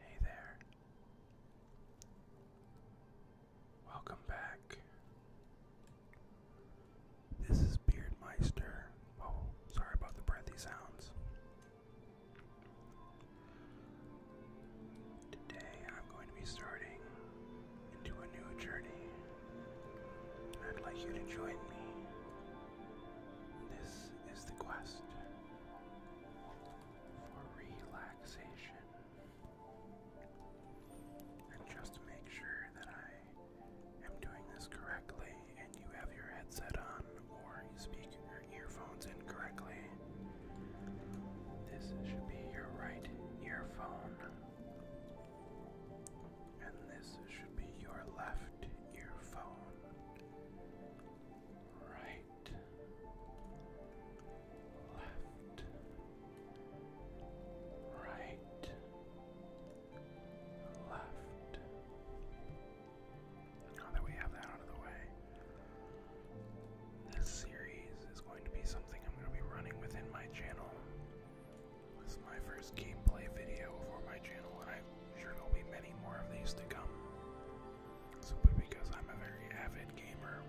Hey there. Welcome back. This is Beardmeister. Oh, sorry about the breathy sounds. Today I'm going to be starting into a new journey. I'd like you to join me. This is the quest for relaxation. And just make sure that I am doing this correctly and you have your headset on or you speak your earphones in This should be your right earphone. And this should be your left earphone. Right left, right, left. Now that we have that out of the way, this series is going to be something I'm going to be running within my channel. This is my first gameplay video for my channel, and I'm sure there'll be many more of these to come simply because I'm a very avid gamer.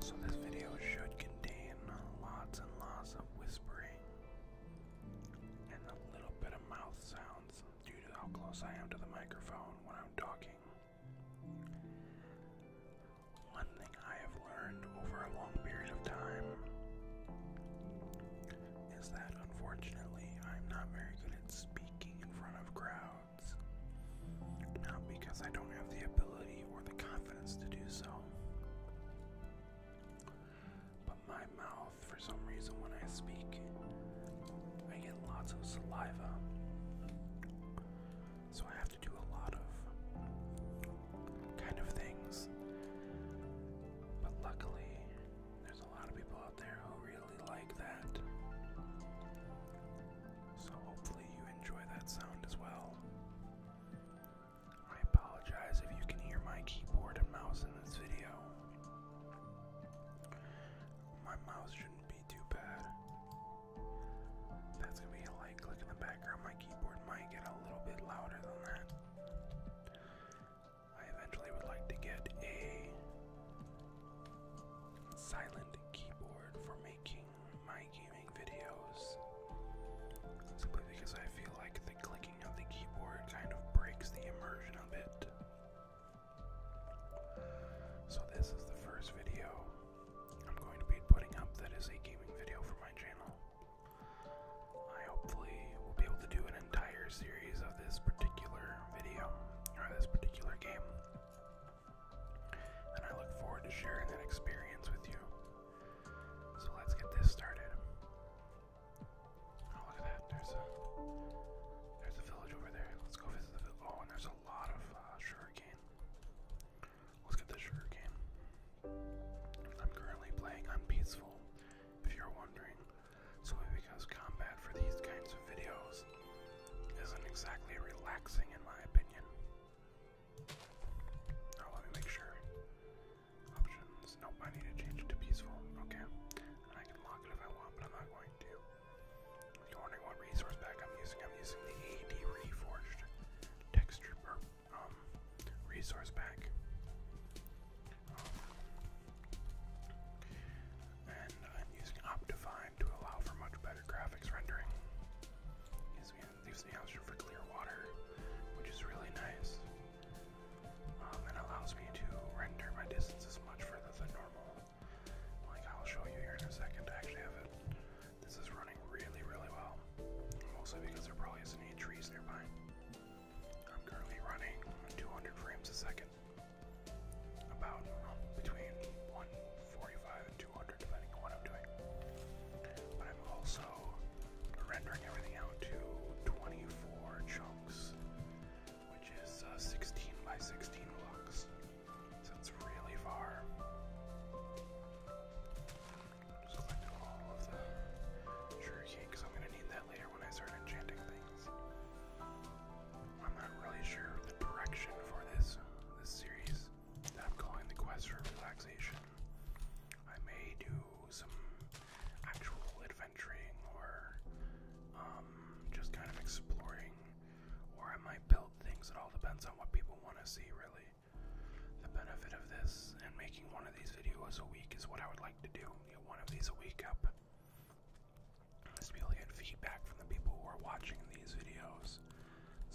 So, this video should contain lots and lots of whispering and a little bit of mouth sounds due to how close I am to the microphone when I'm talking. One thing I have learned over a long period of time is that unfortunately I'm not very good at speaking in front of crowds. Not because I don't have the ability or the confidence to do so. But my mouth, for some reason, when I speak, I get lots of saliva. So I have to do a lot of kind of things. But luckily, there's a lot of people out there who really like that. So hopefully you enjoy that sound as well. I apologize if you can hear my keyboard and mouse in this video. My mouse shouldn't be too bad. That's gonna be a light click in the background. My keyboard might get a little bit louder than that. I eventually would like to get a silent keyboard for making my gaming videos. Simply because I feel like the clicking of the keyboard kind of breaks the immersion of it. So, this is the first video I'm going to be putting up that is a gaming video for my channel. I hopefully will be able to do an entire series of this particular video or this particular game. And I look forward to sharing that experience with you. So let's get this started. Oh, look at that! There's a village over there. Let's go visit the village. Oh, and there's a lot of uh, sugarcane. Let's get the sugarcane. I'm currently playing on If you're wondering, so because combat for these kinds of videos isn't exactly relaxing in my opinion. Oh, let me make sure. Options. Nope, I need to change it to peaceful. Okay. And I can lock it if I want, but I'm not going to. If you're resource pack I'm using, I'm using the AD Reforged texture or, um, resource pack. And I'm using Optifine to allow for much better graphics rendering. Gives me, leaves me option for clear water, which is really nice. Um, and allows me to render my distances much further than normal. Like I'll show you here in a second. I actually have it. This is running really, really well. Mostly because there probably isn't any trees nearby. I'm currently running 200 frames a second, about um, between 145 and 200, depending on what I'm doing. But I'm also rendering everything out to 24 chunks, which is uh, 16 by 16 blocks, so it's really far. Just all of the sugar because I'm going to need that later when I start enchanting things. I'm not really sure the direction for this series that I'm calling the quest for relaxation. I may do some actual adventuring or um, just kind of exploring, or I might build things. It all depends on what people want to see, really. The benefit of this and making one of these videos a week is what I would like to do. Get one of these a week up is to get feedback from the people who are watching these videos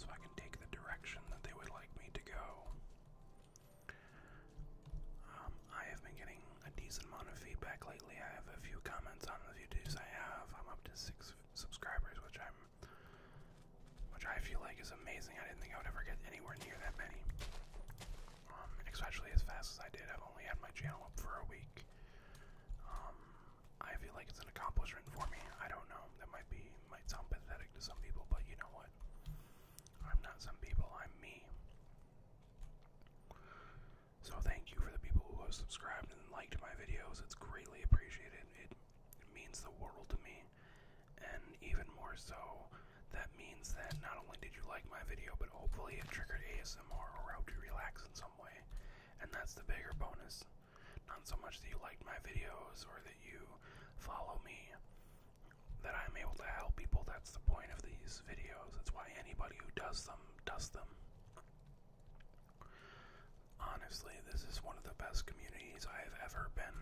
so I can take the direction that they would like me to go. Um, I have been getting a decent amount of feedback lately. I have a few comments on the videos I have. I'm up to six subscribers, which I'm, which I feel like is amazing. I didn't think I would ever get anywhere near that many. Um, especially as fast as I did. I've only had my channel up for a week. Um, I feel like it's an accomplishment for me. I don't know. That might be might sound pathetic to some people, but you know what? I'm not some people. I'm me. So thank you for the people who have subscribed and liked my videos. It's greatly appreciated. It, means the world to me, and even more so, that means that not only did you like my video, but hopefully it triggered ASMR or helped you relax in some way. And that's the bigger bonus. Not so much that you liked my videos or that you follow me, that I'm able to help people. That's the point of these videos. That's why anybody who does them does them. Honestly, this is one of the best communities I've ever been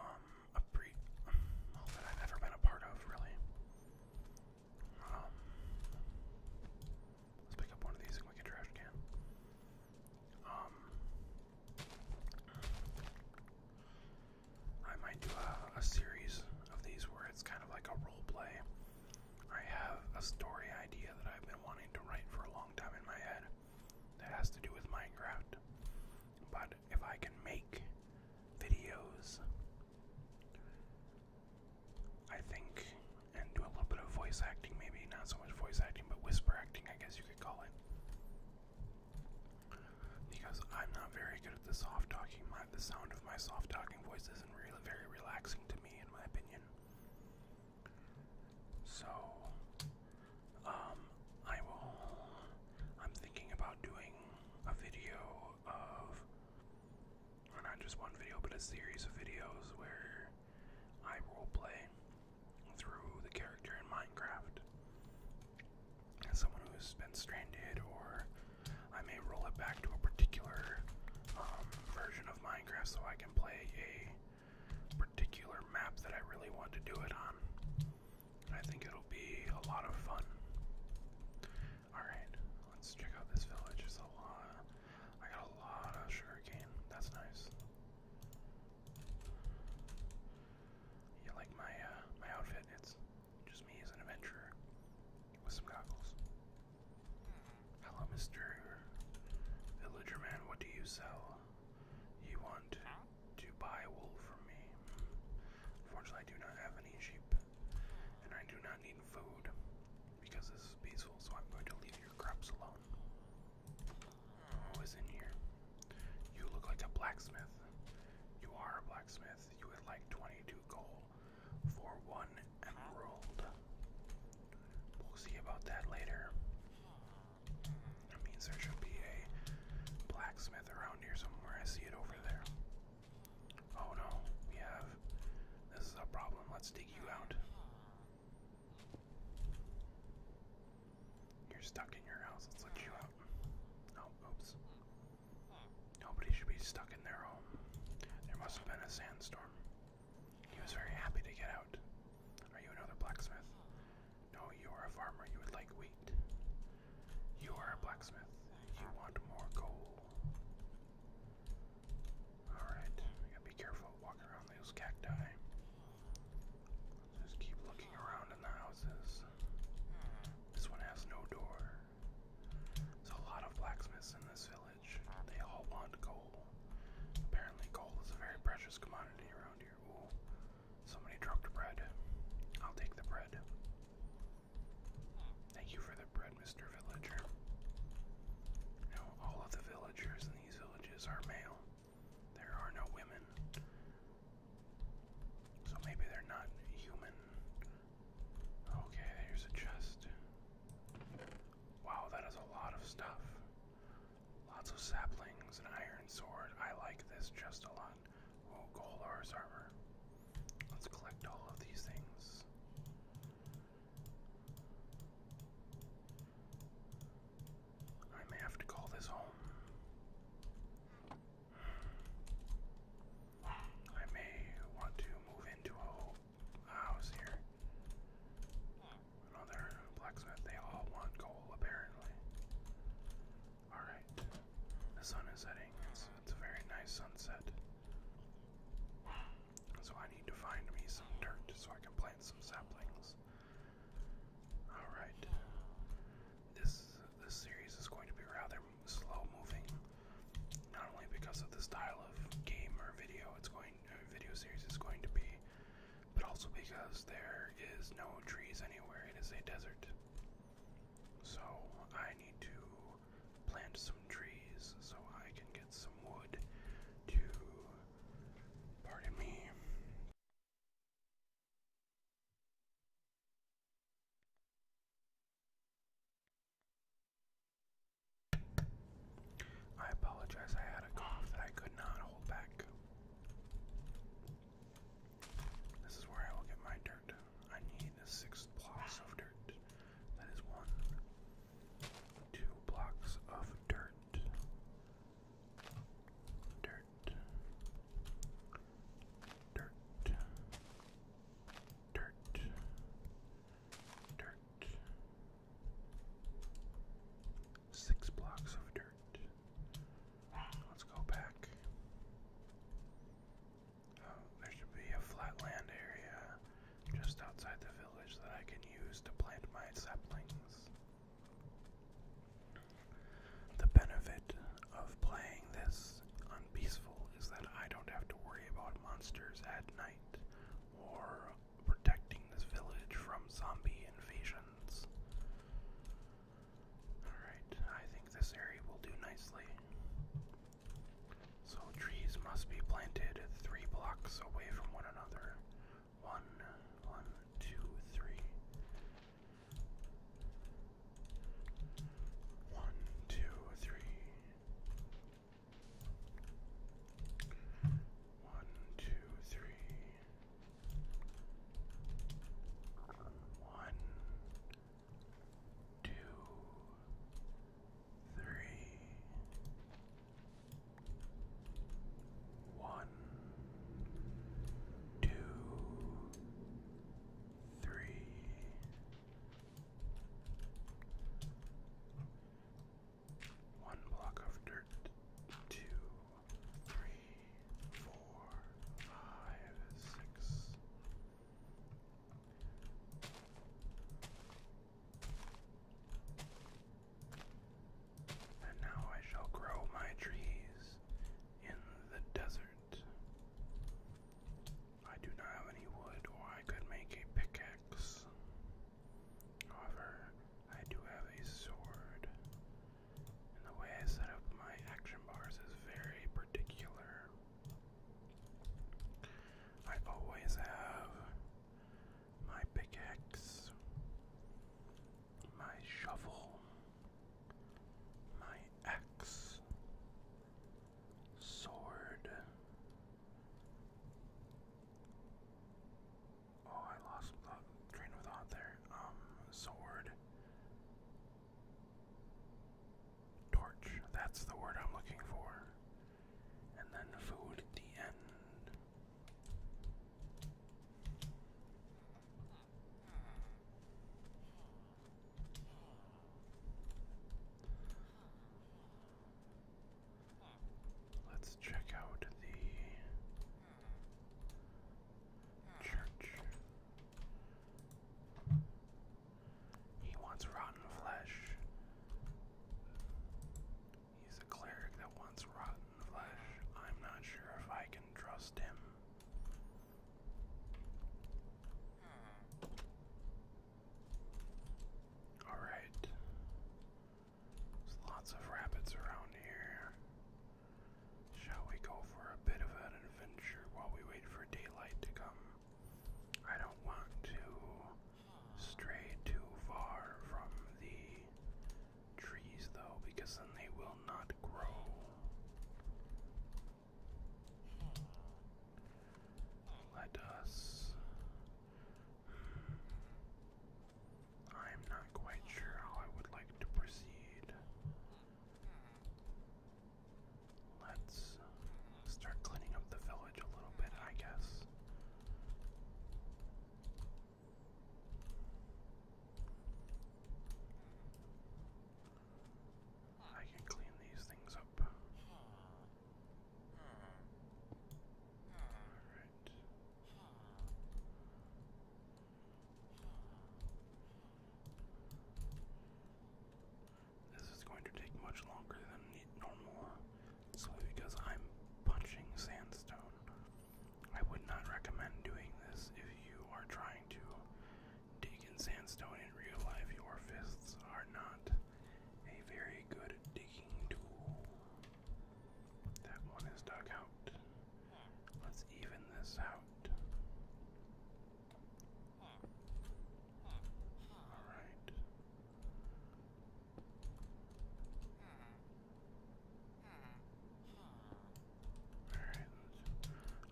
um, I've ever been a part of, really. Um, let's pick up one of these and we get trash can. Um, I might do a, a series of these where it's kind of like a role play. I have a story idea that I've been wanting to write for a long time in my head that has to do with Minecraft. But if I can make videos I think, and do a little bit of voice acting, maybe not so much voice acting, but whisper acting, I guess you could call it. Because I'm not very good at the soft talking, my, the sound of my soft talking voice isn't really very relaxing to me, in my opinion. So, um, I will. I'm thinking about doing a video of, not just one video, but a series of videos where I roleplay through the character in Minecraft. As someone who's been stranded, or I may roll it back to a particular um, version of Minecraft so I can play a particular map that I really want to do it on. I think it'll be a lot of fun. Alright, let's check out this village. There's a lot of, I got a lot of sugarcane. That's nice. You like my uh, my outfit? It's just me as an adventurer with some goggles. Hello, Mr. Villager Man. What do you sell? You want to buy wool from me? Unfortunately, hmm. I do not have any sheep and I do not need food because this is peaceful, so I'm going to leave your crops alone. Who oh, is in here? You look like a blacksmith. You are a blacksmith. You would like 22 gold for one emerald. We'll see about that later. That means there should be a blacksmith around here somewhere. I see it over there. Oh no, we have. This is a problem. Let's dig you out. You're stuck in your house. Let's let you out. Oh, oops. Nobody should be stuck in their home. There must have been a sandstorm. He was very happy to get out. Are you another blacksmith? No, you are a farmer. You would like wheat. You are a blacksmith. You want more gold. Alright, be careful walking around those cacti. Just keep looking around in the houses. This one has no door. There's a lot of blacksmiths in this village. They all want coal. Apparently, coal is a very precious commodity around here. somebody dropped bread. I'll take the bread. Thank you for the bread, Mr. Villager. Now, all of the villagers in these villages are male. There are no women. So maybe they're not human. Okay, here's a chest. Wow, that is a lot of stuff. Lots of saplings, an iron sword. I like this chest a lot. Oh, Golar's armor. Let's collect all of these things. I may have to call this home. I may want to move into a house here. Another blacksmith. They all want gold, apparently. Alright, the sun is setting. It's, it's a very nice sunset. So I need to find me some dirt so I can plant some saplings. Alright. This this series is going to be rather slow moving. Not only because of the style of game or video it's going uh, video series is going to be, but also because there is no trees anywhere. It is a desert. So I need to plant some trees so I can get some wood to, pardon me, I apologize, I had a cough that I could not hold back. This is where I will get my dirt. I need six blocks of dirt. That is one. Two blocks of dirt. Dirt. Dirt. Dirt. Dirt. Six blocks of dirt. Let's go back. Um, there should be a flat land area just outside the village that I can use to plant my saplings. The benefit of playing this unpeaceful is that I don't have to worry about monsters at night or protecting this village from zombie invasions. Alright, I think this area will do nicely. So trees must be planted three blocks away from one another. One, one, two, three. One, two, three. One, two, three. One, two, three, one, two, three. One block of dirt, two, three, four, five, six, and now I shall grow my trees in the desert. I do not have any wood, or I could make a pickaxe. However, I do have a sword. And the way I set up my action bars is very particular. I always have my pickaxe, my shovel, my axe, sword. Oh, I lost the train there. Um, sword. Torch, that's the word I'm looking for. And then food at the end. Let's check out the church. He wants rotten flesh. He's a cleric that wants rotten flesh. I'm not sure if I can trust him. Hmm. Alright. There's lots of rabbits around here. Shall we go for a bit of an adventure while we wait for daylight to come? I don't want to stray too far from the trees though, because then they will not grow. Let us. I'm not quite sure how I would like to proceed. Let's start cleaning up the village a little bit, I guess. I can clean these things up. Alright. This is going to take much longer than normal uh, solely because I'm punching sandstone. I would not recommend doing this if you are trying to dig in sandstone in real life. Your fists are not a very good digging tool. That one is dug out. Let's even this out. All right.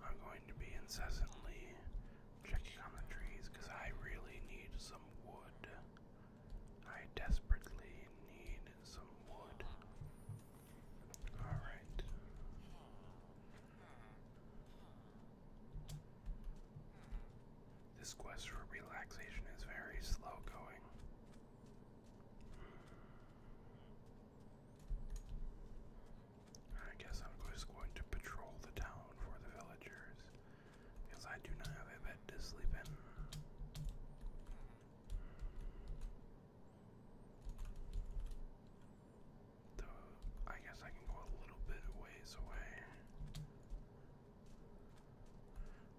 Alright, I'm going to be incessantly checking on the trees because I really need some wood. I desperately need some wood. Alright. This quest for relaxation is very slow going. I guess I'm just going to patrol the town for the villagers because I do not have a bed to sleep in. I guess I can go a little bit ways away.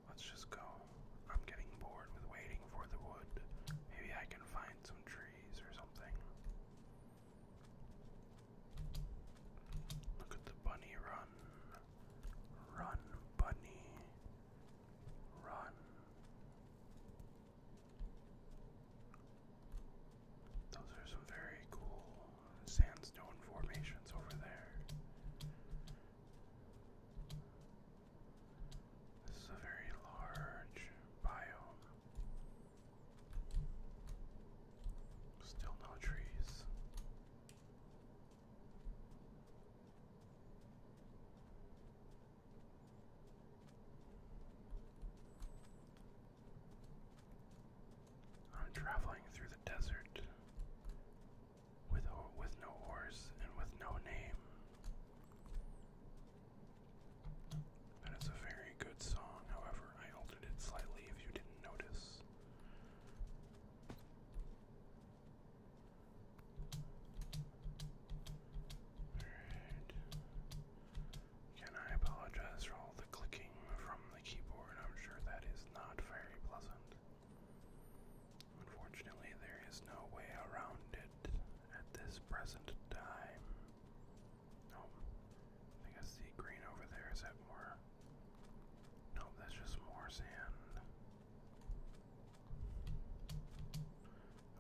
Let's just go. I'm getting bored with waiting for the wood. Maybe I can find some trees or something. Look at the bunny run. Run, bunny. Run. Those are some very cool sandstone formations over there. This is a very large biome. Still no trees. I'm traveling through the desert with with no horse and with no name. That is a very good song, however, I altered it slightly if you didn't notice. Alright. Again, I apologize for all the clicking from the keyboard. I'm sure that is not very pleasant. Unfortunately, there is no way around it at this present time. Oh, I see green over there. Is that more? Nope, that's just more sand.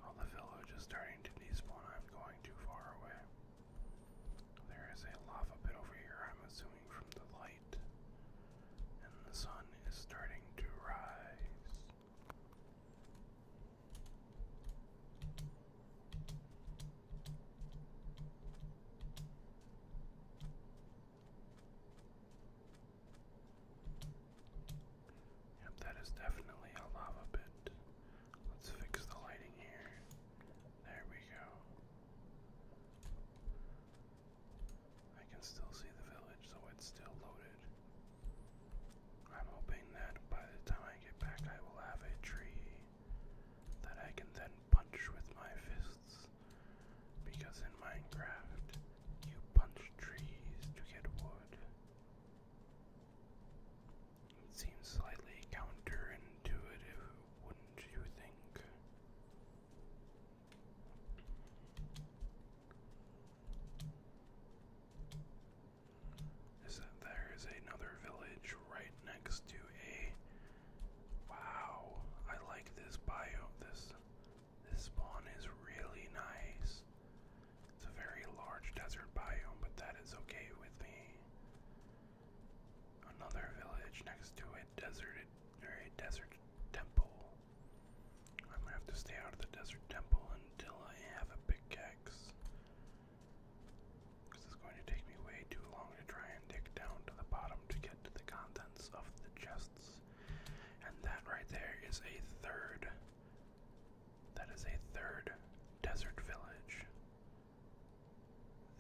Oh, the village is starting to despawn. I'm going too far away. There is a lava pit over here, I'm assuming from the light. And the sun is starting to rise. Yep, that is definitely a lava pit. Let's fix the lighting here. There we go. I can still see the village, so it's still loaded. I'm hoping that by the time I get back, I will have a tree that I can then punch with my fists. Because in Minecraft, you punch trees to get wood. It seems slightly counterintuitive, wouldn't you think? Is that there is another village right next to a Wow, I like this bio this this spawn is really nice. It's a very large desert biome, but that is okay with me. Another village next to a deserted or a desert temple. I'm gonna have to stay out of the desert temple until I have a pickaxe. This is going to take me way too long to try and dig down to the bottom to get to the contents of the chests. And that right there is a third. That is a third desert village.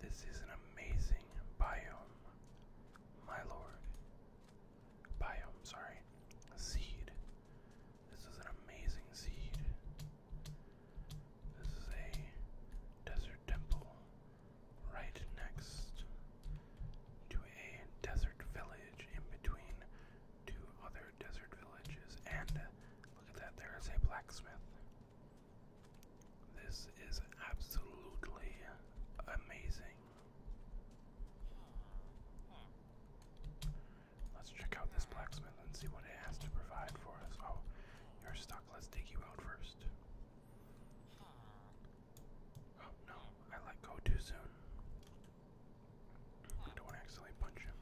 This is an amazing biome, my lord. Biome, sorry. Seed. This is an amazing seed. This is a desert temple right next to a desert village in between two other desert villages. And look at that, there is a blacksmith. This is absolutely amazing. Let's check out this blacksmith and see what it has to provide for us. Oh, you're stuck. Let's dig you out first. Oh no, I let go too soon. don't want to accidentally punch him.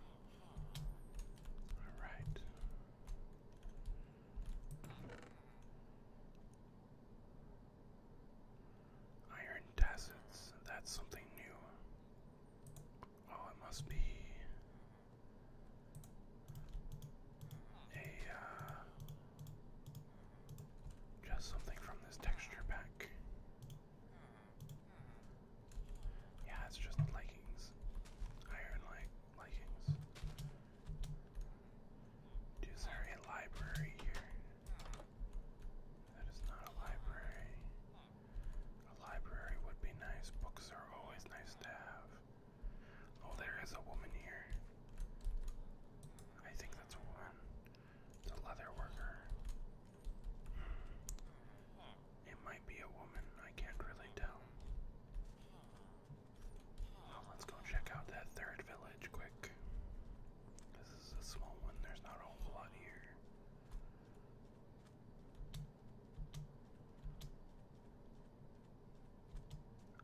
Alright. Iron tassets, that's something new. Oh, it must be a uh, just something from this texture pack. Yeah, it's just leggings. Iron legs. Is there a library here? That is not a library. A library would be nice. Books are always nice to have. Oh, there is a woman here. I think that's a woman. It's a leather hmm. It might be a woman. I can't really tell. Oh, let's go check out that third village quick. This is a small one, there's not a whole lot here.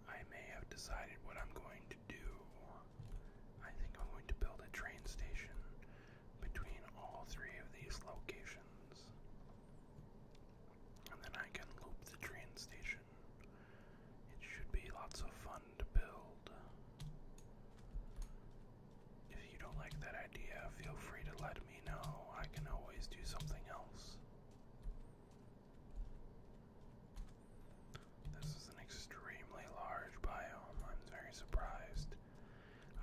I may have decided what I'm going to do. I think I'm going to build a train station between all three of these locations. And then I can loop the train station. It should be lots of fun to build. If you don't like that idea, feel free to let me know. I can always do something else. This is an extremely large biome. I'm very surprised.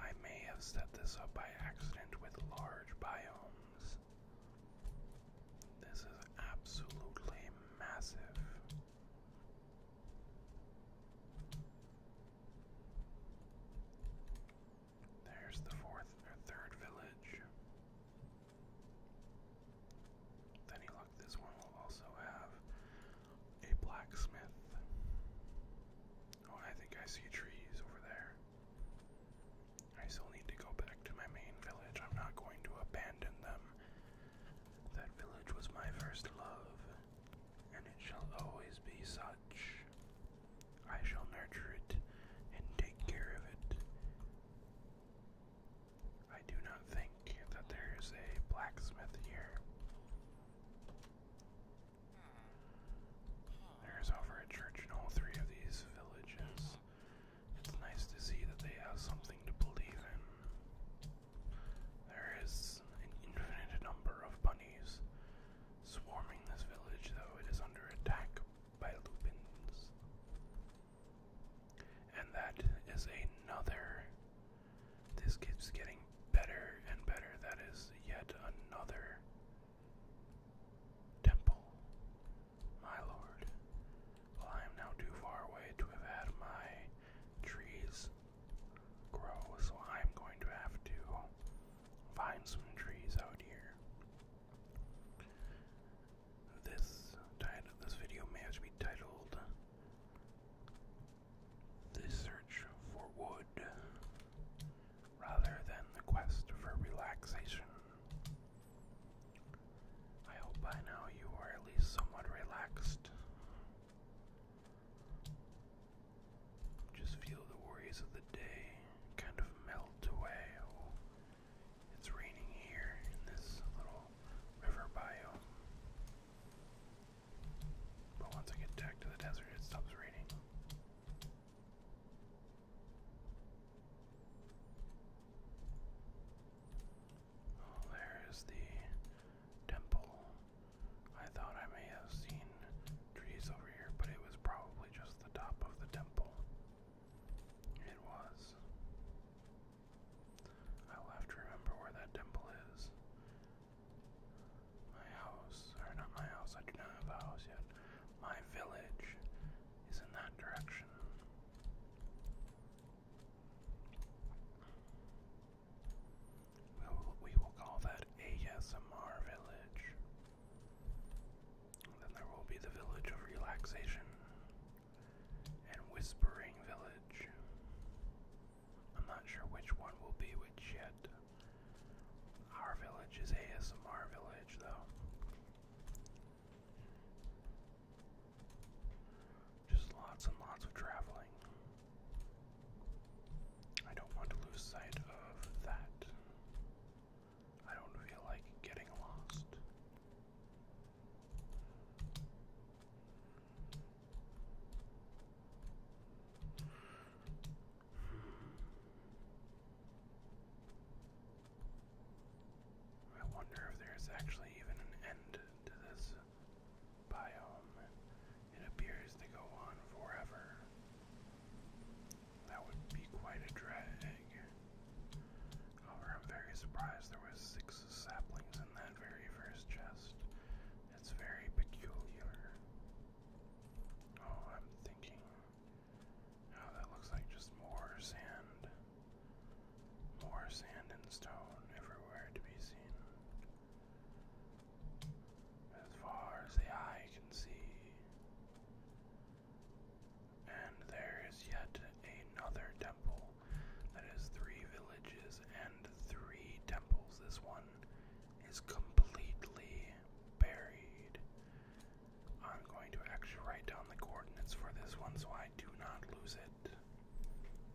I may have set this up by accident with large biomes. This is absolutely massive. There's the fourth or third village. Then you this one will also have a blacksmith. Oh, I think I see trees over there. I still need to go back to my main village. I'm not going to abandon them. That village was my first love, and it shall always be such. I shall nurture it and take care of it. I do not think that there is a blacksmith here. Hmm. There's over a church in all three of these villages. It's nice to see that they have something to believe in. There is an infinite number of bunnies swarming this village, though it is under attack by lupins. And that is another. This keeps getting better and better. That is yet another Temple. My lord, well, I am now too far away to have had my trees grow, so I am going to have to find some trees out here. This title, this video may have to be titled "The Search for Wood." rather than the quest for relaxation. I hope by now you are at least somewhat relaxed. Just feel the worries of the day kind of melt away. it's raining here in this little river biome. But once I get back to the desert, it stops raining. Oh, there is the temple. I thought I may have seen trees over here, but it was probably just the top of the temple. It was. I'll have to remember where that temple is. My house, or not my house, I do not have a house yet. My village is in that direction. We will, call that ASMR Village. then there will be the Village of Relaxation and Whispering Village. I'm not sure which one will be which yet. Our village is ASMR Village, though. Just lots and lots of traveling. I don't want to lose sight of that. I don't feel like getting lost. I wonder if there's actually even an end to this biome. It appears to go on forever. That would be quite a drag. However, I'm very surprised there was six saplings in that very first chest. It's very peculiar. Oh, I'm thinking Oh, that looks like just more sand. More sand and stone everywhere to be seen. As far as the eye can see. And there is yet another temple. That is three villages and three temples. This one is completely buried. I'm going to actually write down the coordinates for this one so I do not lose it.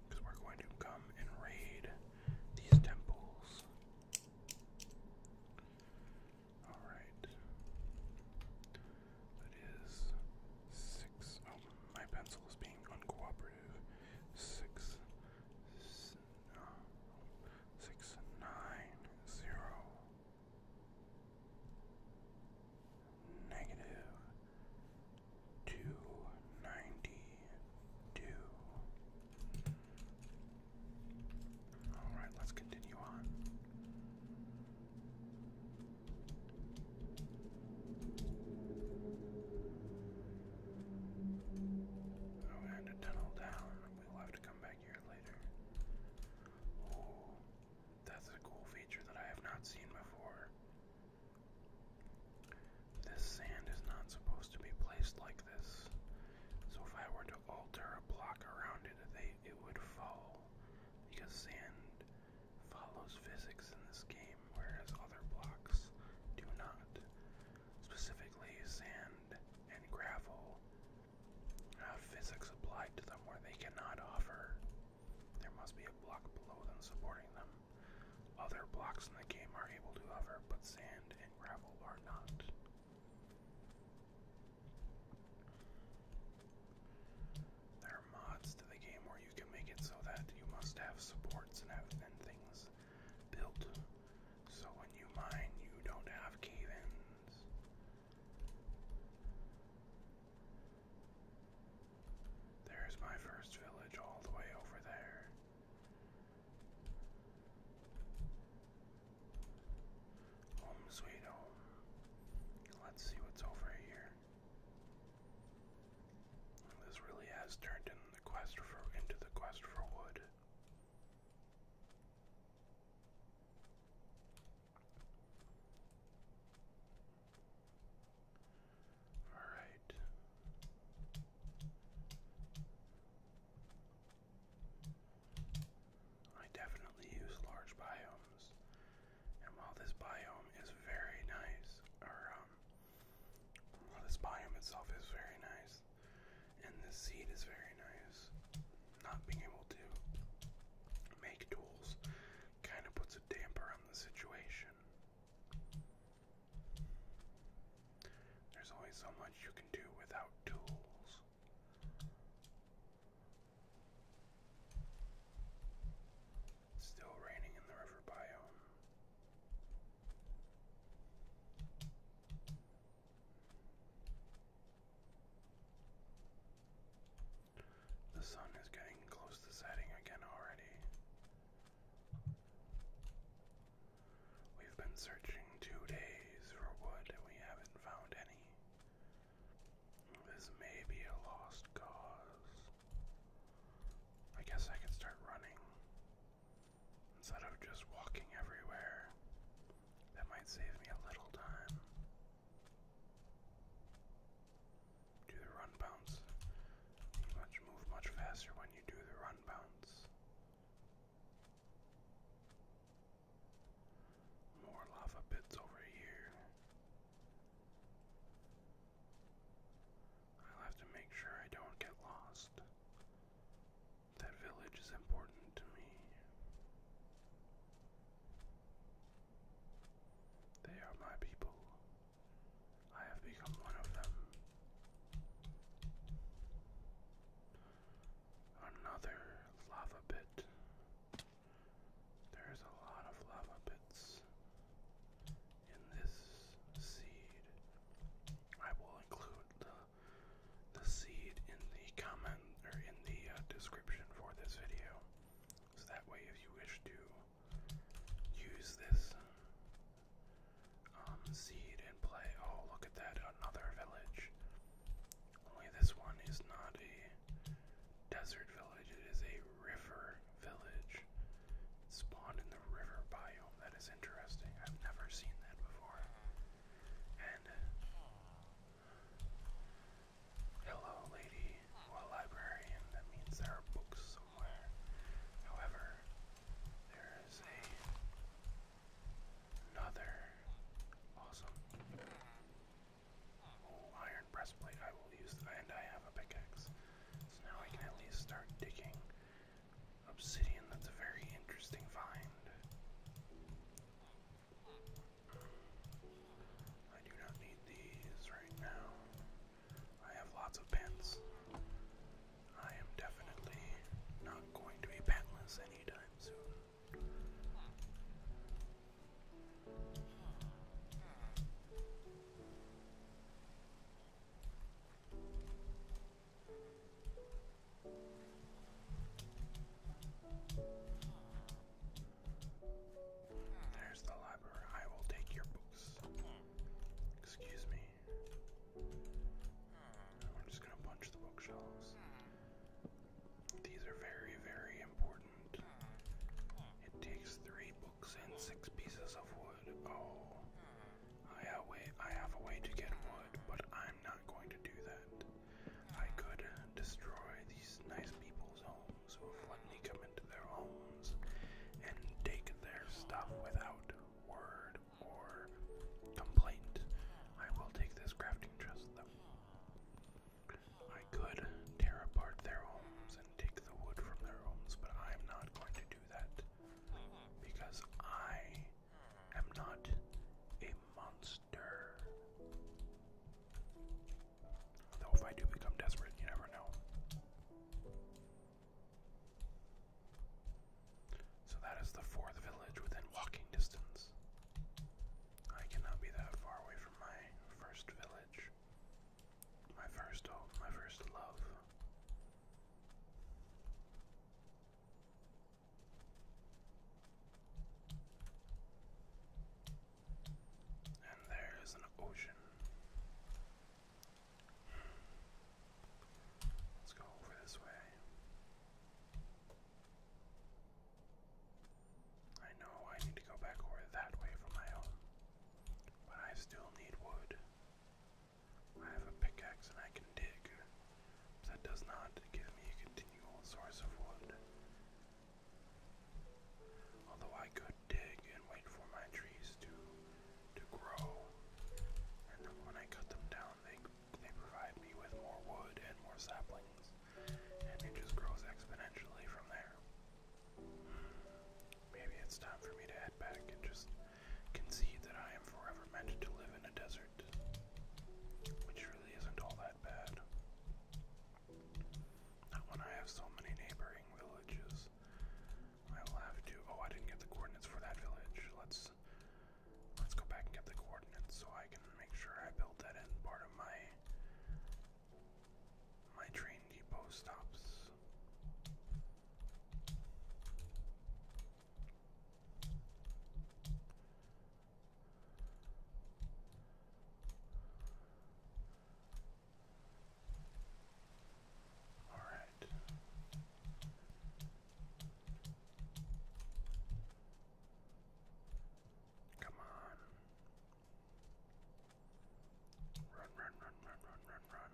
Because we're going to come and raid these temples. Alright. That is six. Oh, my pencil is being uncooperative. Six negative two ninety two. All right, let's continue on. Oh, and a tunnel down. We'll have to come back here later. That's a cool feature that I have not seen before. This sand is not supposed to be placed like this. So if I were to alter a block around it, it would fall because sand follows physics in this game, whereas other blocks do not. Specifically, sand and gravel uh, physics applied to them where they cannot offer. There must be a block below them supporting them. Other blocks in the game are able to hover, but sand and gravel are not. There are mods to the game where you can make it so that you must have supports and have thin things built. So when you mine, you don't have cave ins. There's my first village all the way over there. Home sweet home. Let's see what's over here. This really has turned in the quest for into the quest for wood. All right. I definitely use large biomes. And while this biome is very nice, or um, while this biome itself is very nice, and this seed is very nice, not being able to make tools kind of puts a damper on the situation. There's only so much you can do without tools. still raining in the river biome. The sun is getting close to setting again already. We've been searching two days for wood and we haven't found any. This may be a lost cause. I guess I could start running. Instead of just walking everywhere, that might save me a little time. Do the run bounce. much move much faster when you do the run bounce. More lava bits over here. I'll have to make sure I don't get lost. That village is important to me. They are my people. I have become one of them. Another lava pit. There's a lot of lava bits in this seed. I will include the seed in the comment or in the uh, description for this video. So that way, if you wish to use this um, seed and play, oh, look at that, another village. Only this one is not a desert village, it is a river village. It's spawned in the river biome. That is interesting. I've never seen that before. Hello, lady. well, librarian. That means there are books somewhere. However, there is another awesome. iron breastplate. I will use that, and I have a pickaxe. So now I can at least start digging obsidian. That's a very interesting find. I do not need these right now. I have lots of pants. I am definitely not going to be pantless anytime soon. There's the library. I will take your books. Excuse me. I'm just gonna punch the bookshelves. These are very, very important. It takes three books and six pieces of wood. Oh. I have, way, I have a way to get wood, but I'm not going to do that. I could destroy these nice people's homes who have let me come into their homes and take their stuff without word or complaint. I will take this crafting chest though. I could tear apart their homes and take the wood from their homes, but I'm not going to do that because I am not a monster. Though if I do become desperate, you never know. So that is the fourth village within walking distance. I cannot be that far away from my first village. My first home, my first love. And there is an ocean. Let's go over this way. I know I need to go back over that way for my home, but I still need wood. I have a pickaxe and I can dig, but that does not give me a continual source of wood. Although I could dig and wait for my trees to to grow, and then when I cut them down, they they provide me with more wood and more saplings, and it just grows exponentially from there. Maybe it's time for me to head back and just concede that I am forever meant to live in a desert, which really isn't all that bad. Not when I have so many neighboring villages. I will have to. Oh, I didn't get the coordinates for that village. Let's let's go back and get the coordinates so I can make sure I build that in part of my my train depot stops. All right. Come on. Run, run, run, run, run, run, run.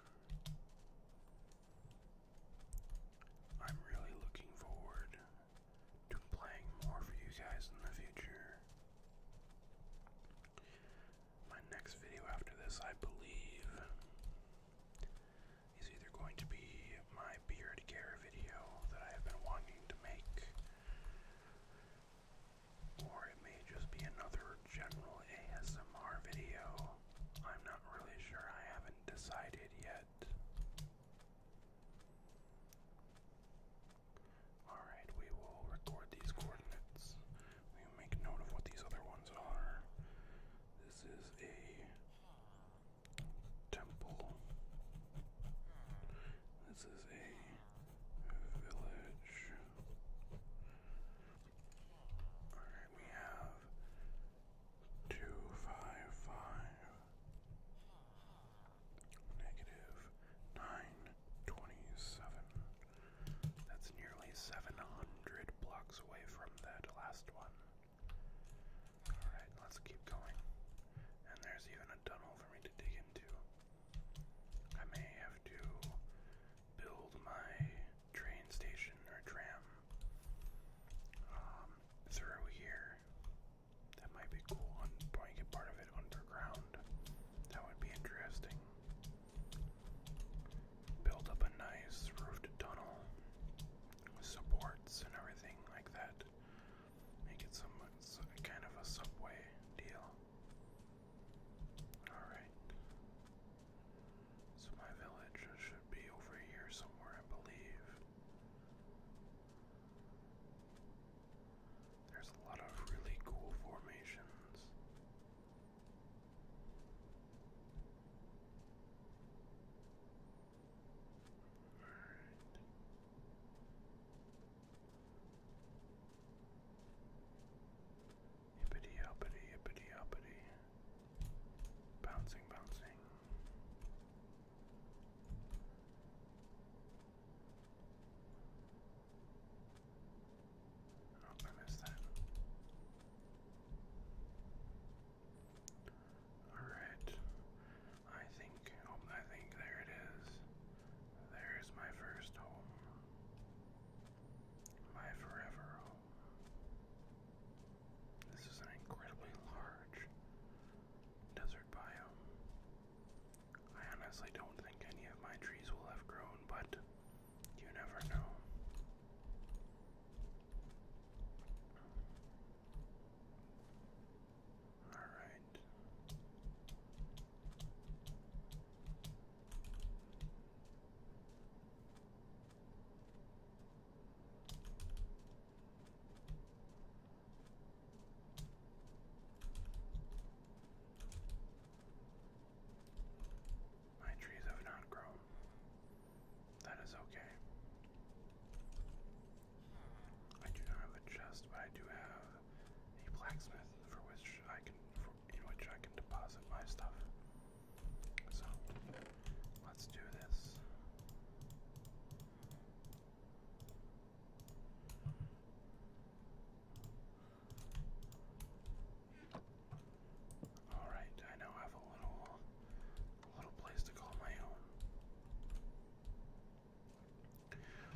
I'm really looking forward to playing more for you guys in the future. My next video after this, I believe, is either going to be my beard care video that I have been wanting to make, or it may just be another general ASMR video. I'm not really sure, I haven't decided yet. Alright, we will record these coordinates. We make note of what these other ones are. This is a temple. This is a village. Alright, we have two five five negative 927. That's nearly 700 blocks away from that last one. Alright, let's keep going. And there's even a tunnel for me to dig into. I may have to build my train station or tram um, through here. That might be cool. On probably get part of it underground. That would be interesting. Build up a nice roofed tunnel with supports and everything like that. Make it some, some kind of a subway deal. Alright. So my village should be over here somewhere, I believe. There's a lot of really cool formations. All right. Hippity uppity, hippity uppity. Bouncing, bouncing. Oh, I missed that. Alright. I think oh, I think there it is. There is my first home. My forever home. This is an incredibly large desert biome. I honestly don't think any of my trees will have grown, but you never know. Alright. My trees have not grown. That is okay. I do not have a chest, but I do have a blacksmith for which I can, in which I can deposit my stuff. So let's do this. All right, I now have a little, a little place to call my own.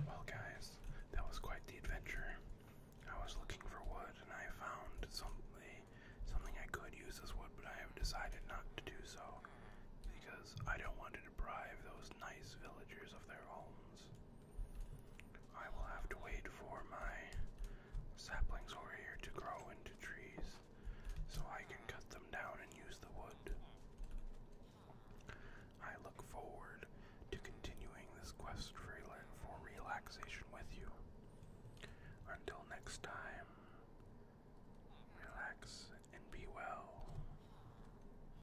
Well, guys, that was quite the adventure. I was looking for wood, and I found something, something I could use as wood, but I have decided not to do so because I don't want to deprive those nice villagers of their homes. I will have to wait for my saplings over here to grow into trees so I can cut them down and use the wood. I look forward to continuing this quest for, for relaxation with you. Until next time, relax and be well.